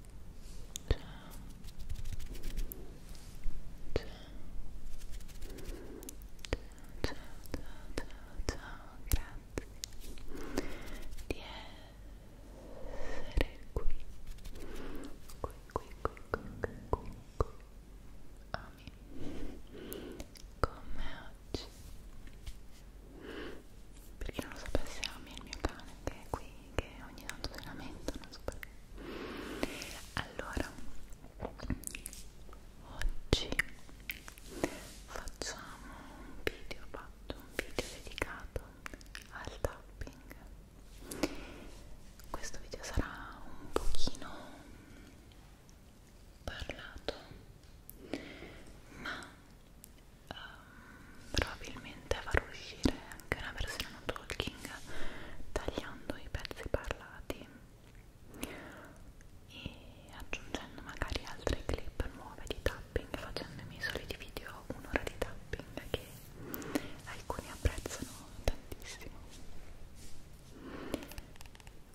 Ciao. Ciao. Ciao, ciao, ciao, ciao, grazie di essere qui, qui, qui, qui, qui, qui, qui, qui. Ami, come oggi, per chi non lo sapesse Ami è il mio cane che è qui che ogni tanto si lamentano, non so perché. Allora, oggi facciamo un video, fatto un video dedicato al tapping. Questo video sarà un pochino parlato, ma um, probabilmente farò uscire anche una versione non talking tagliando i pezzi parlati e aggiungendo magari altre clip nuove di tapping facendo i miei soliti video un'ora di tapping che alcuni apprezzano tantissimo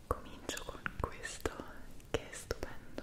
comincio con questo che è stupendo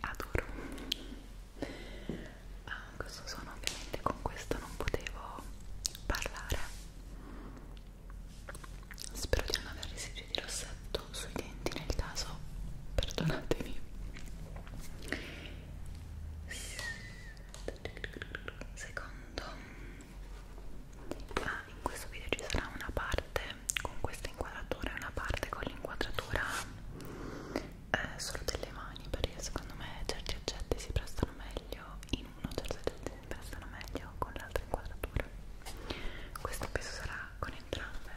Adoro ah, questo suono ovviamente con questo non potevo parlare spero di non aver residui di rossetto molto sui denti nel caso perdonatemi secondo ah, in questo video ci sarà una parte con questa inquadratura e una parte con l'inquadratura eh, solo delle mani perché secondo me certi oggetti si prestano meglio in uno certi oggetti si prestano meglio con l'altra inquadratura questo penso sarà con entrambe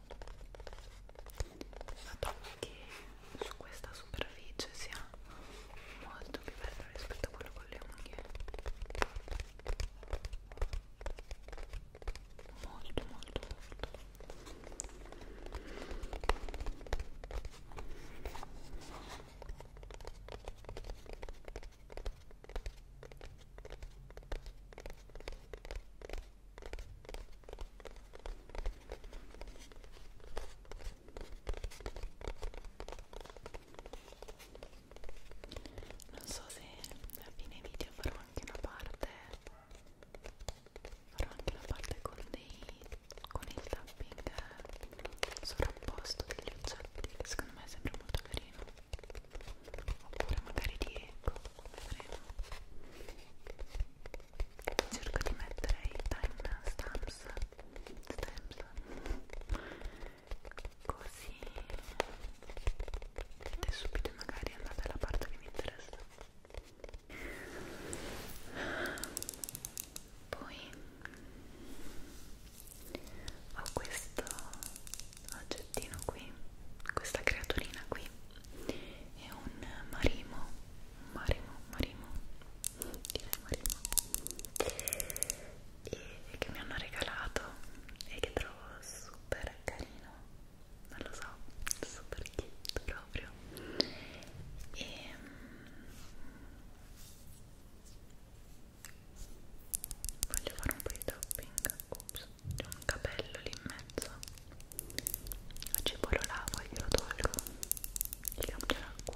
Noto che su questa superficie sia molto più bello rispetto a quello con le unghie. Molto, molto, molto. Ecco non so se a fine video farò anche una parte farò anche una parte con dei con il tapping sovrapposto degli oggetti che secondo me sembra molto carino oppure magari di eco vedremo cerco di mettere i time stamps, stamps così vedete subito magari andate alla parte che vi interessa poi ho questo oggettino qui questa creaturina qui è un marimo Marimo, Marimo, direi Marimo e che mi hanno regalato e che trovo super carino non lo so, super cute proprio e mm, voglio fare un po' di topping, ops, c'è un capello lì in mezzo oggi poi lo lavo e glielo tolgo gli cambio l'acqua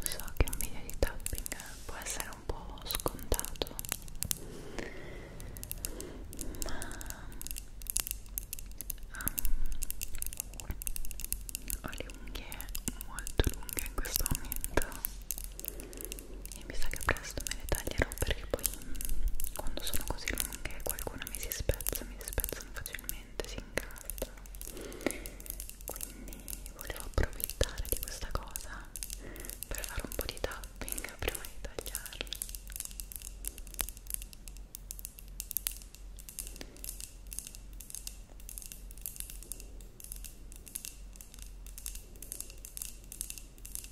So che un video di tapping può essere un po' scontato, ma um, ho le unghie molto lunghe in questo momento e mi sa che presto me le taglierò perché poi mm, quando sono così lunghe qualcuna mi si spezza, mi spezzano facilmente, si incastrano quindi volevo approfittare di questa cosa per fare un po' di tapping prima di tagliarli ok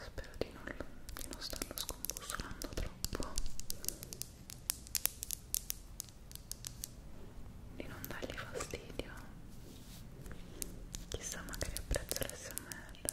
Spero di non, di non starlo scombussolando troppo, di non dargli fastidio. Chissà, magari apprezzo l'SMR.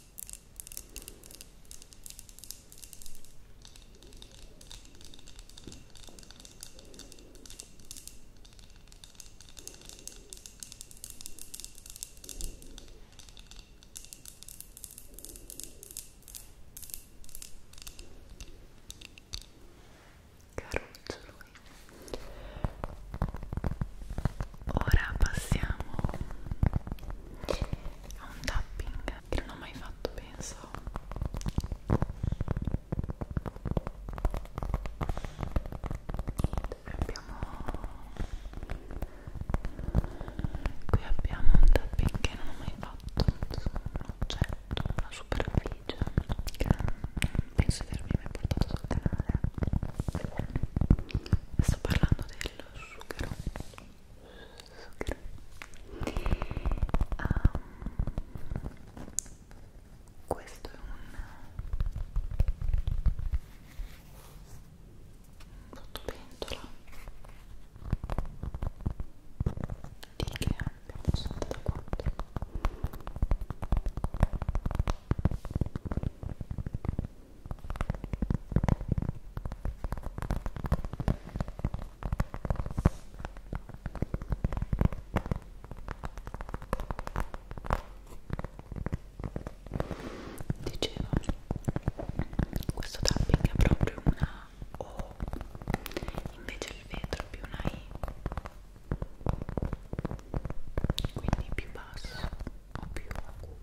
Caruccio lui. Ora passiamo a un tapping che non ho mai fatto penso abbiamo qui abbiamo un tapping che non ho mai fatto su un oggetto, una superficie che non penso di avermi mai portato sul canale sto parlando del sughero Um, questo è un sottopentola di che abbiamo 64 e Dicevo, questo tapping è proprio una O, invece il vetro è più una I, quindi più basso o più acuto.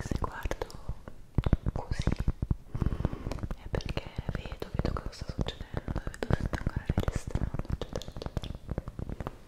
se guardo così è perché vedo, vedo cosa sta succedendo, vedo se sta ancora registrando, eccetera, eccetera. Ecco,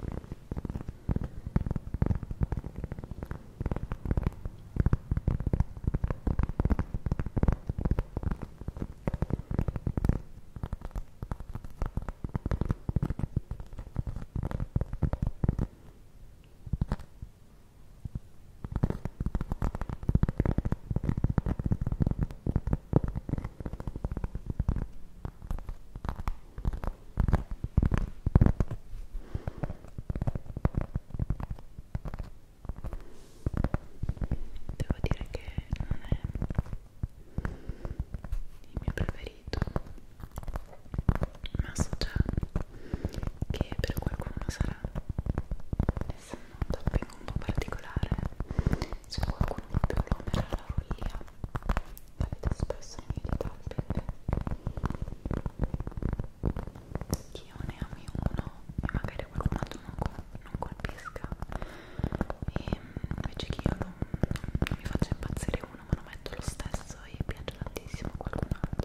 Devo dire che non è il mio preferito ma so già che per qualcuno sarà essendo un topping un po' particolare se qualcuno più lo amerà la follia capita spesso nei miei topping che io ne ami uno e magari qualcun altro non, col non colpisca e invece che io non, non mi faccia impazzire uno ma lo metto lo stesso e piace tantissimo a qualcun altro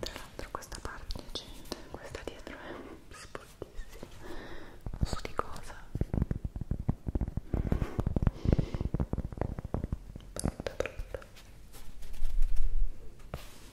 Tra l'altro questa parte c'è, questa dietro è sportissima. Non so di cosa. Brutta brutta.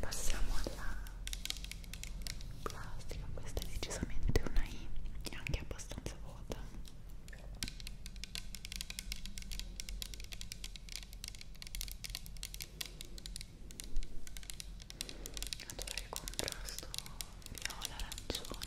passiamo alla plastica questa è decisamente una I e anche abbastanza vuota adoro il contrasto viola arancione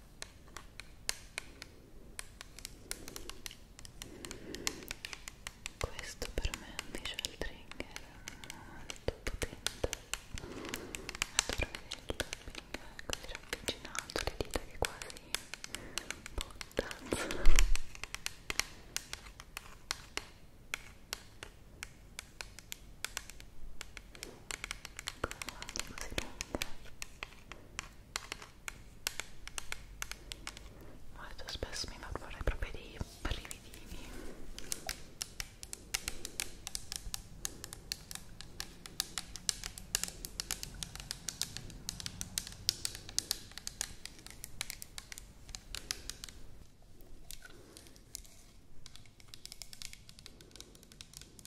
questo per me è un visual trigger molto potente adoro vedere il tapping così ravvicinato le dita che quasi buttano molto spesso mi fa fare proprio dei brividini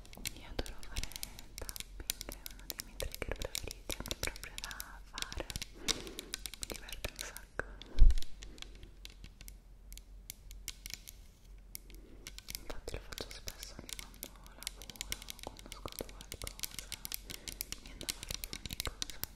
Io adoro fare tapping, è uno dei miei trigger preferiti, anche proprio da fare, mi diverte un sacco. Infatti lo faccio spesso anche quando lavoro, quando ascolto qualcosa, mi viene da fare ogni cosa. Io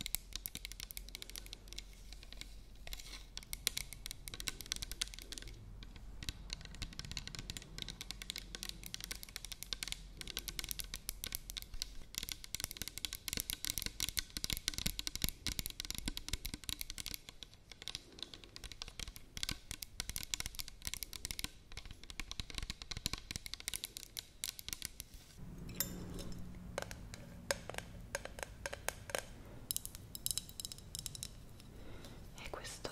e questo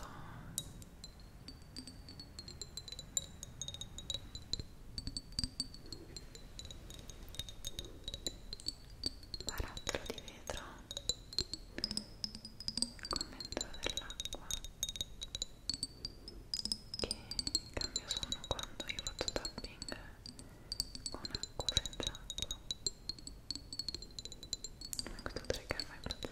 barattolo di vetro con dentro dell'acqua che cambia suono quando io faccio tapping con acqua senza acqua ma questo ecco, trigger mai piacere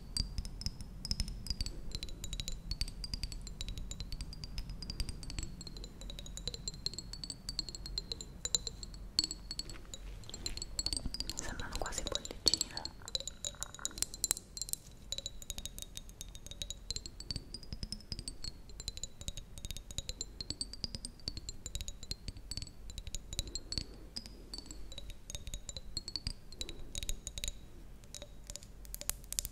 mi sembrano quasi bollicine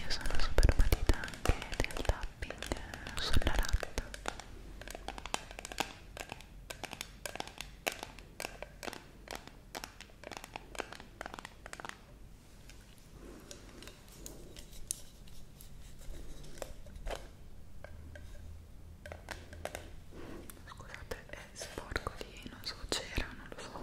Io sono super patita anche del tapping sulla latta Scusate, è sporco lì, non so c'era, non lo so.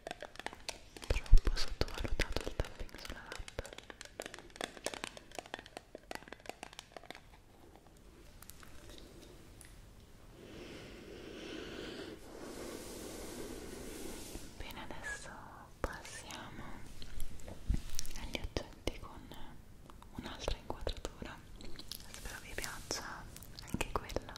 troppo sottovalutato il tapping sulla app bene adesso passiamo agli oggetti con un'altra inquadratura spero vi piaccia anche quella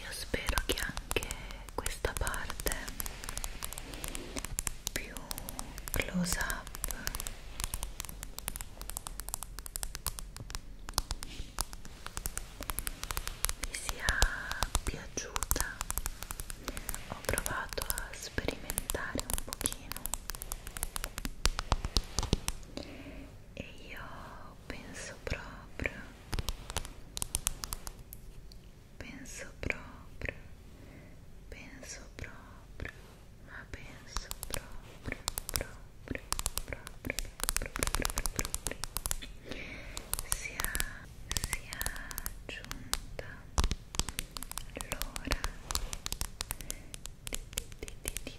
Io spero che anche questa parte più close up vi sia piaciuta ho provato a sperimentare un pochino e io penso proprio penso proprio penso proprio ma penso proprio, proprio, proprio, proprio, proprio, proprio sia, sia giunta l'ora a passare le luci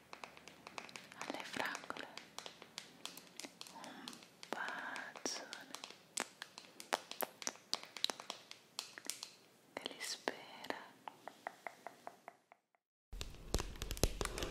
alle fragole un bacione che li spera Ciao